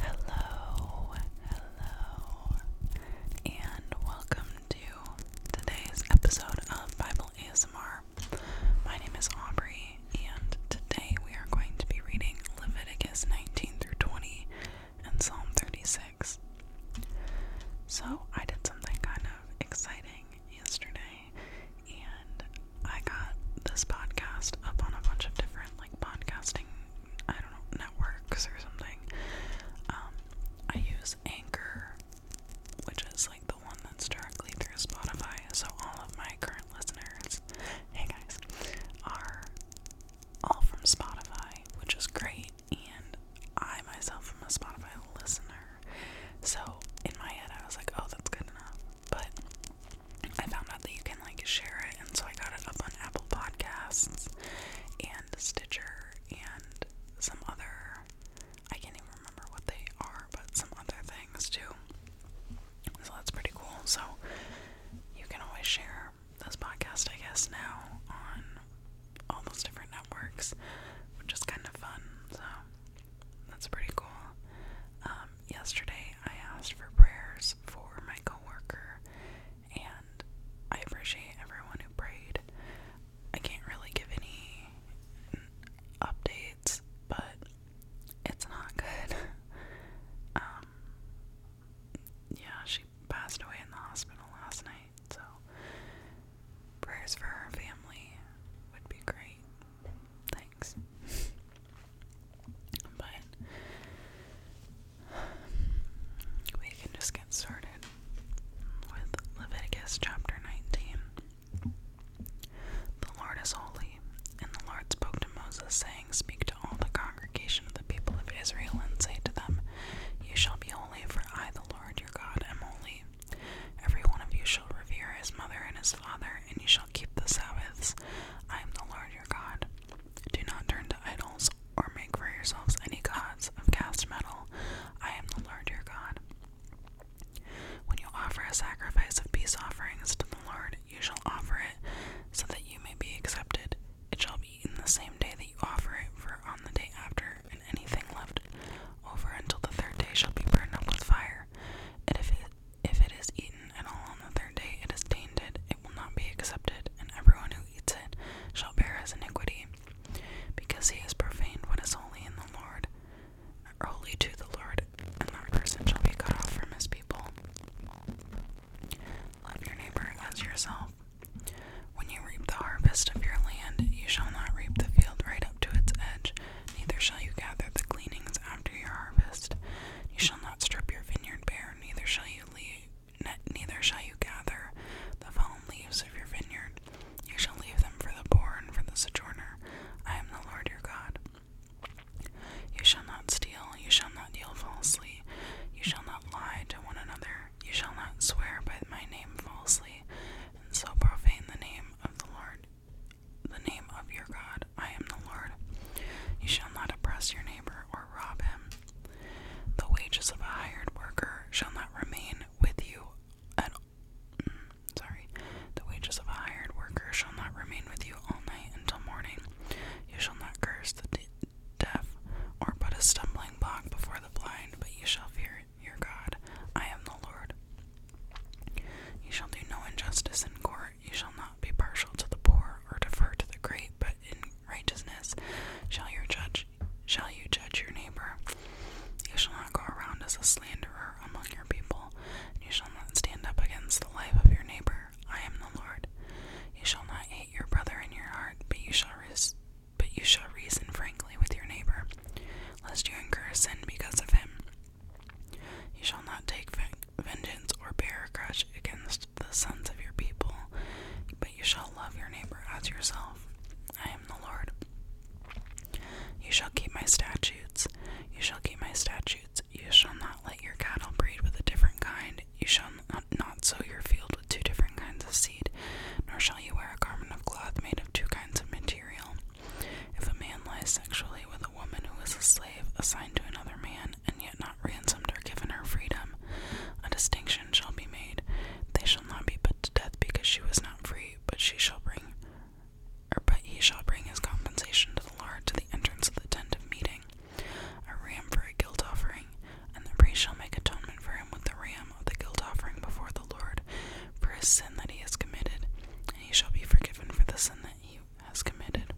Hello, hello, and welcome to today's episode of Bible ASMR. My name is Aubrey, and today we are going to be reading Leviticus 19 through 20 and Psalm 36. So, I did something kind of exciting yesterday, and I got this podcast up on a bunch of different like podcasting, I don't know, networks or something. Um, I use Anchor, which is like the one that's directly through Spotify, so all of my current listeners, hey guys, are all from Spotify, which is great. And I myself am a Spotify listener, so in my head I was like, oh, that's good enough. But I found out that you can like share it, and so I got it up on Apple Podcasts and Stitcher and some other I can't even remember what they are, but some other things too. So that's pretty cool. So you can always share this podcast, I guess, now on all those different networks, which is kind of fun. So that's pretty cool. Um, yesterday I asked for prayers for my coworker, and I appreciate everyone who prayed. I can't really give any updates, but it's not good. Um, yeah, she passed away in the hospital last night, so prayers for her family would be great. Thanks. But we can just get started with Leviticus chapter 19. The Lord is holy, and the Lord spoke to Moses, saying, Speak to all the congregation of the people of Israel, and say to them, You shall be holy, for I, the Lord your God, am holy. Every one of you shall revere his mother and his father, and you shall keep the Sabbaths. I am the Lord your God. Do not turn to idols or make for yourselves any gods of cast metal. I am the Lord your God. When you offer a sacrifice of peace offerings to the Lord, you shall offer it so that you may be accepted. It shall be eaten the same day that you offer it, for on the day after, and anything left over until the third day shall be burned up with fire. And if it if it is eaten at all on the third day, it is tainted, it will not be accepted, and everyone who eats it shall bear his iniquity, because he has profaned what is holy in the Lord, holy to the Lord, and that person shall be cut off from his people. Love your neighbor as yourself. When you reap the harvest of your land, you shall not reap the field right up to its edge, neither shall you gather the gleanings after your harvest. You shall not strip your vineyard bare, neither shall you leave, neither shall you gather the fallen leaves of your vineyard. You shall leave them for the poor and for the sojourner. I am the Lord your God. You shall not steal, you shall not deal falsely, you shall not lie to one another, you shall not swear by my name falsely, and so profane the name of the Lord the name of your God. I am the Lord. You shall not oppress your neighbor or rob him. The wages of a hired worker shall not remain with you mm, sorry. The wages of a hired worker shall not remain with you all night until morning. You shall not curse the deaf or put a stumbling block before the blind, but you shall fear your God. I am the Lord. You shall do no injustice in court you shall not be partial to the poor or defer to the great, but in righteousness shall you judge your neighbor. You shall not go around as a slanderer among your people, and you shall not stand up against the life of your neighbor. I am the Lord. You shall not hate your brother in your heart, but you shall reason frankly with your neighbor, lest you incur sin because of him. You shall not take vengeance or bear a grudge against the sons of your people, but you shall love your neighbor as yourself. I am the Lord. You shall keep my statutes. You shall keep my statutes. You shall not let your cattle breed with a different kind. You shall not sow your field with two different kinds of seed, nor shall you wear a garment of cloth made of two kinds of material. If a man lies sexually with a woman who is a slave assigned to another man, and yet not ransomed or given her freedom, a distinction shall be made. They shall not be put to death because she was not free, but she shall bring or but he shall bring his compensation to the Lord to the entrance of the tent of meeting, a ram for a guilt offering, and the priest shall make atonement for him with the ram of the guilt offering before the Lord for his sin that he has committed, and he shall be forgiven for the sin that he has committed.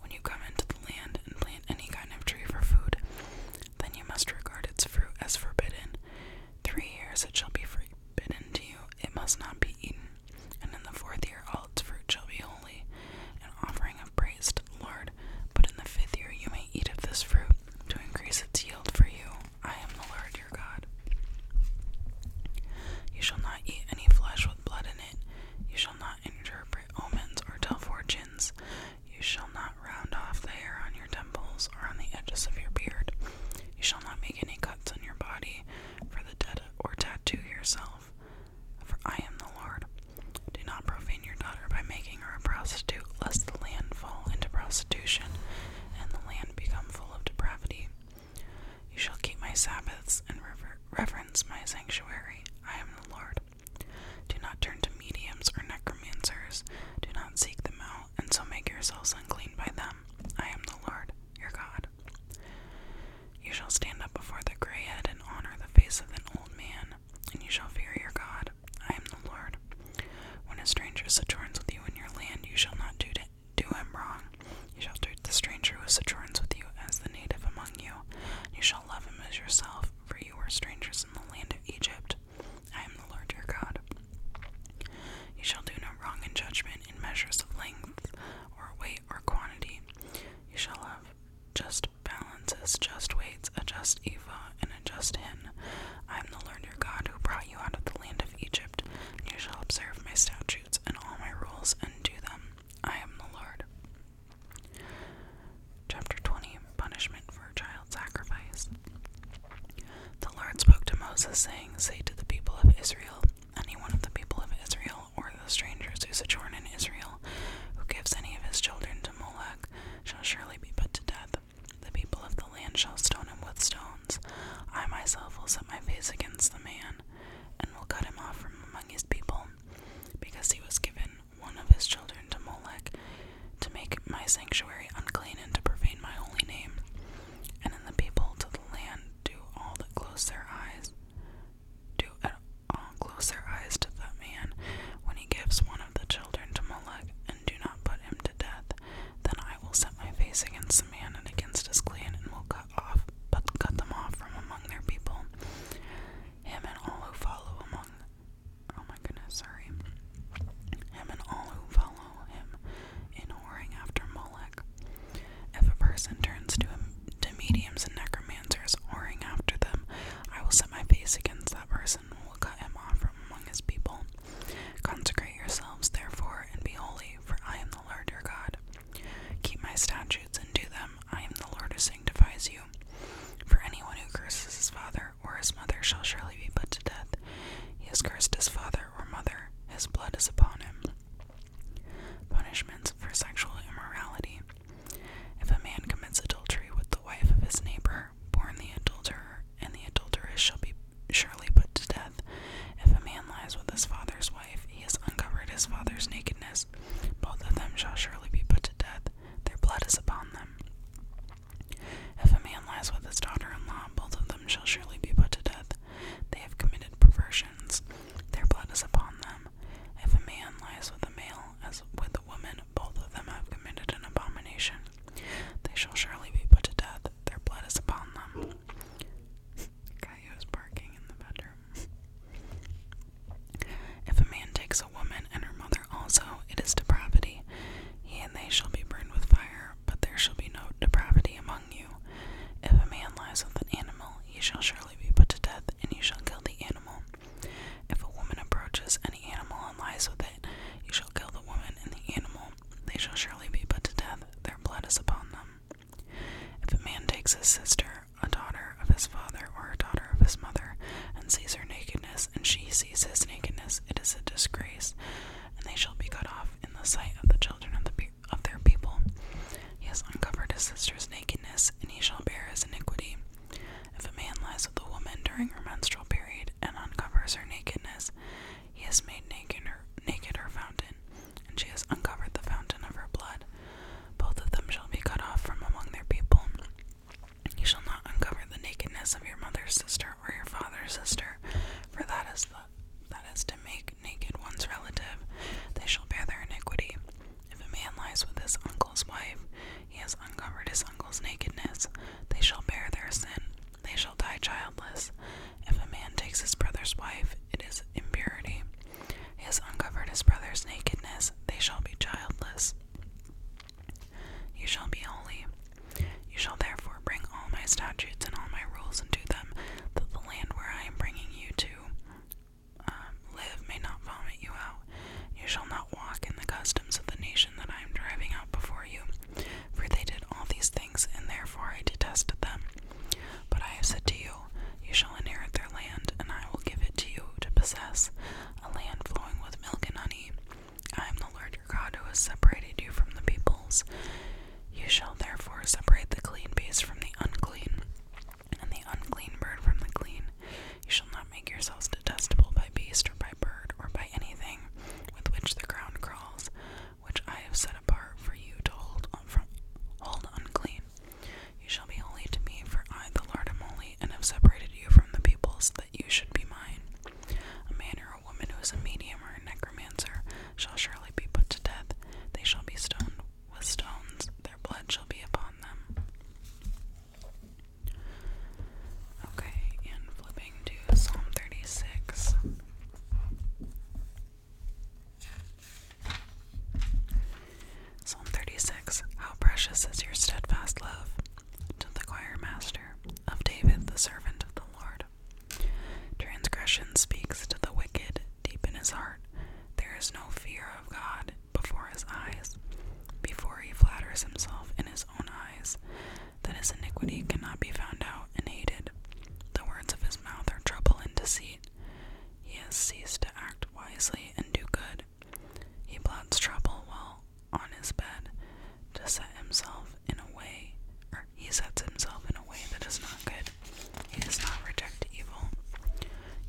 When you come into the land and plant any kind of tree for food, then you must regard its fruit as forbidden. Three years it shall be forbidden to you, it must not be eaten. And in the fourth year all its fruit shall be holy, an offering of praise to the Lord. But in the fifth year you may eat of this fruit, to increase its yield for you. I am the Lord your God. You shall not eat any flesh with blood in it. You shall not interpret omens or tell fortunes. You shall not round off the hair on your temples or on the edges of your beard. You shall not make any cuts in your body for the dead or tattoo yourself. For I am the Lord. Do not profane your daughter by making her a prostitute, lest the land fall into prostitution and the land become full of depravity. You shall keep my Sabbaths and reverence my sanctuary. I am the Lord. Do not turn to mediums or necromancers. Do not seek them out, and so make yourselves unclean by them. I am the Lord, your God. You shall stand up before the gray head and honor the face of an old man, and you shall fear your God. I am the Lord. When a stranger sojourns with you in your land, you shall not do to do him wrong. You shall treat the stranger who sojourns with you as the native among you. You shall love him as yourself, for you were strangers in the land of Egypt. I am the Lord your God. You shall do no wrong in judgment in measures of length, or weight, or quantity. You shall have just balances, just weights, a just ephah, and a just hin. I am the Lord your God who brought you out of the land of Egypt. You shall observe my statutes and all my rules and do them. I am the Lord. Chapter 20 Punishment for Child Sacrifice. The Lord spoke to Moses, saying, Say to the people of Israel, any one of the people of Israel, or the strangers who sojourn in Israel, who gives any of his children to Moloch, shall surely be put to death. The people of the land shall stone him with stone." I myself will set my face against the man, and will cut him off from among his people, because he was given one of his children to Molech, to make my sanctuary unclean and to profane my holy name. And in the people to the land do all that close their eyes, do all close their eyes to that man when he gives one of the children to Molech, and do not put him to death. Then I will set my face against the man and against his clan, and will cut off, but cut them off from among their people. Him and all who follow among, oh my goodness, sorry. Him and all who follow him in whoring after Moloch. If a person turns to to mediums and necromancers, whoring after them, I will set my face against that person and will cut him off from among his people. Consecrate yourselves, therefore, and be holy, for I am the. Lord your God. Keep my statutes and do them. I am the Lord who sanctifies you. For anyone who curses his father or his mother shall surely be put to death. He has cursed his father or mother. His blood is upon him. Punishments for sexual immorality. If a man commits adultery with the wife of his neighbor, born the adulterer, and the adulteress shall be surely put to death. If a man lies with his father's wife, he has uncovered his father's nakedness. Both of them shall surely be put to death. Their blood is upon them. If a man lies with his daughter in law, both of them shall surely be put to death. They have committed perversions. Their blood is upon them. If a man lies with a male as with a woman, both of them have committed an abomination. They shall surely be put to death. Their blood is upon them. Coyote's barking in the bedroom. If a man takes a woman and her mother also, it is depravity. He and they shall be burned with fire, but there shall be no depravity among you. If a man lies with an animal, he shall surely be put to death, and you shall kill the animal. If a woman approaches any animal and lies with it, you shall kill the woman and the animal. They shall surely be put to death, their blood is upon them. If a man takes his sister, a daughter of his father, or a daughter of his mother, and sees her nakedness, and she sees his nakedness, it is a disgrace, and they shall be cut off in the sight of the children of, of their people. He has uncovered his sister's nakedness, and he shall bear his iniquity. If a man lies with a woman during her menstrual period and uncovers her nakedness, he has made naked her, naked her fountain, and she has uncovered the fountain of her blood. Both of them shall be cut off from among their people. You shall not uncover the nakedness of your mother's sister or your father's sister, for that is the that is to make naked one's relative. They shall bear their iniquity. If a man lies with his uncle's wife, he has uncovered his uncle's nakedness. They shall bear their sin. They shall die childless. If a man takes his brother's wife, it is impurity. He has uncovered his brother's nakedness. They shall be childless. You shall be holy. You shall therefore bring all my statutes and all my rules into them, that the land where I am bringing you to um, live may not vomit you out. You shall not walk in the customs of the nation that I am driving out before you, for they did all these things, and therefore I detested them. But I have said to you, You shall inherit their land, and I will give it to you to possess, a land flowing with milk and honey. I am the Lord your God who has separated you from the peoples. You shall therefore separate the clean beast from the unclean, and the unclean bird from the clean. You shall not make yourselves detestable by beast or by bird or by anything with which the ground crawls, which I have set apart for you to hold on from hold unclean. You shall be holy to me, for I the Lord am holy, and have separated you from the peoples that you should be mine. A man or a woman who is a medium or a necromancer shall surely be put to death. They shall be stoned with stones, their blood shall be upon them. Okay, and flipping to Psalm 36. Psalm 36 How precious is your steadfast love to the choir master of David, the servant of the Lord. Transgression speaks to the wicked deep in his heart. There is no fear of God before his eyes. Before he flatters himself in his own eyes, that his iniquity cannot be found out and hated. The words of his mouth are trouble and deceit. He has ceased to act wisely and do good. He plots trouble while on his bed to set himself in a way, he sets himself in a way that is not good. He does not reject evil.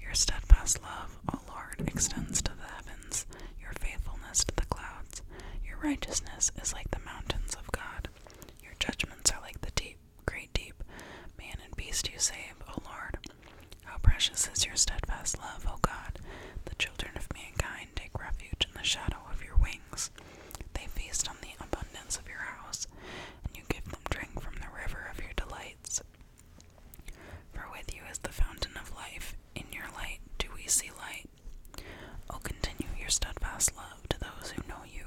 Your steadfast love, O Lord, extends to the heavens, your faithfulness to the clouds. Your righteousness is like the mountains of God. Your judgments are like the deep, great deep. Man and beast you save, O Lord. How precious is your steadfast love, O God. The children of mankind take refuge in the shadow of your wings. They feast on the abundance of your house, and you give them drink from the river of your delights. For with you is the fountain of life. In your light do we see light light. Oh, continue your steadfast love to those who know you,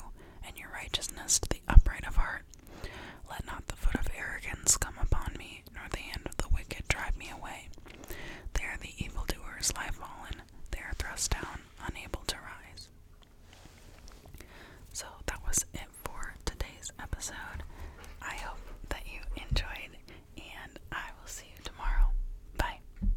and your righteousness to the upright of heart. Let not the foot of arrogance come upon me, nor the hand of the wicked drive me away. There the evil doers lie fallen, they are thrust down, unable to rise. So that was it for today's episode. I hope that you enjoyed, and I will see you tomorrow. Bye.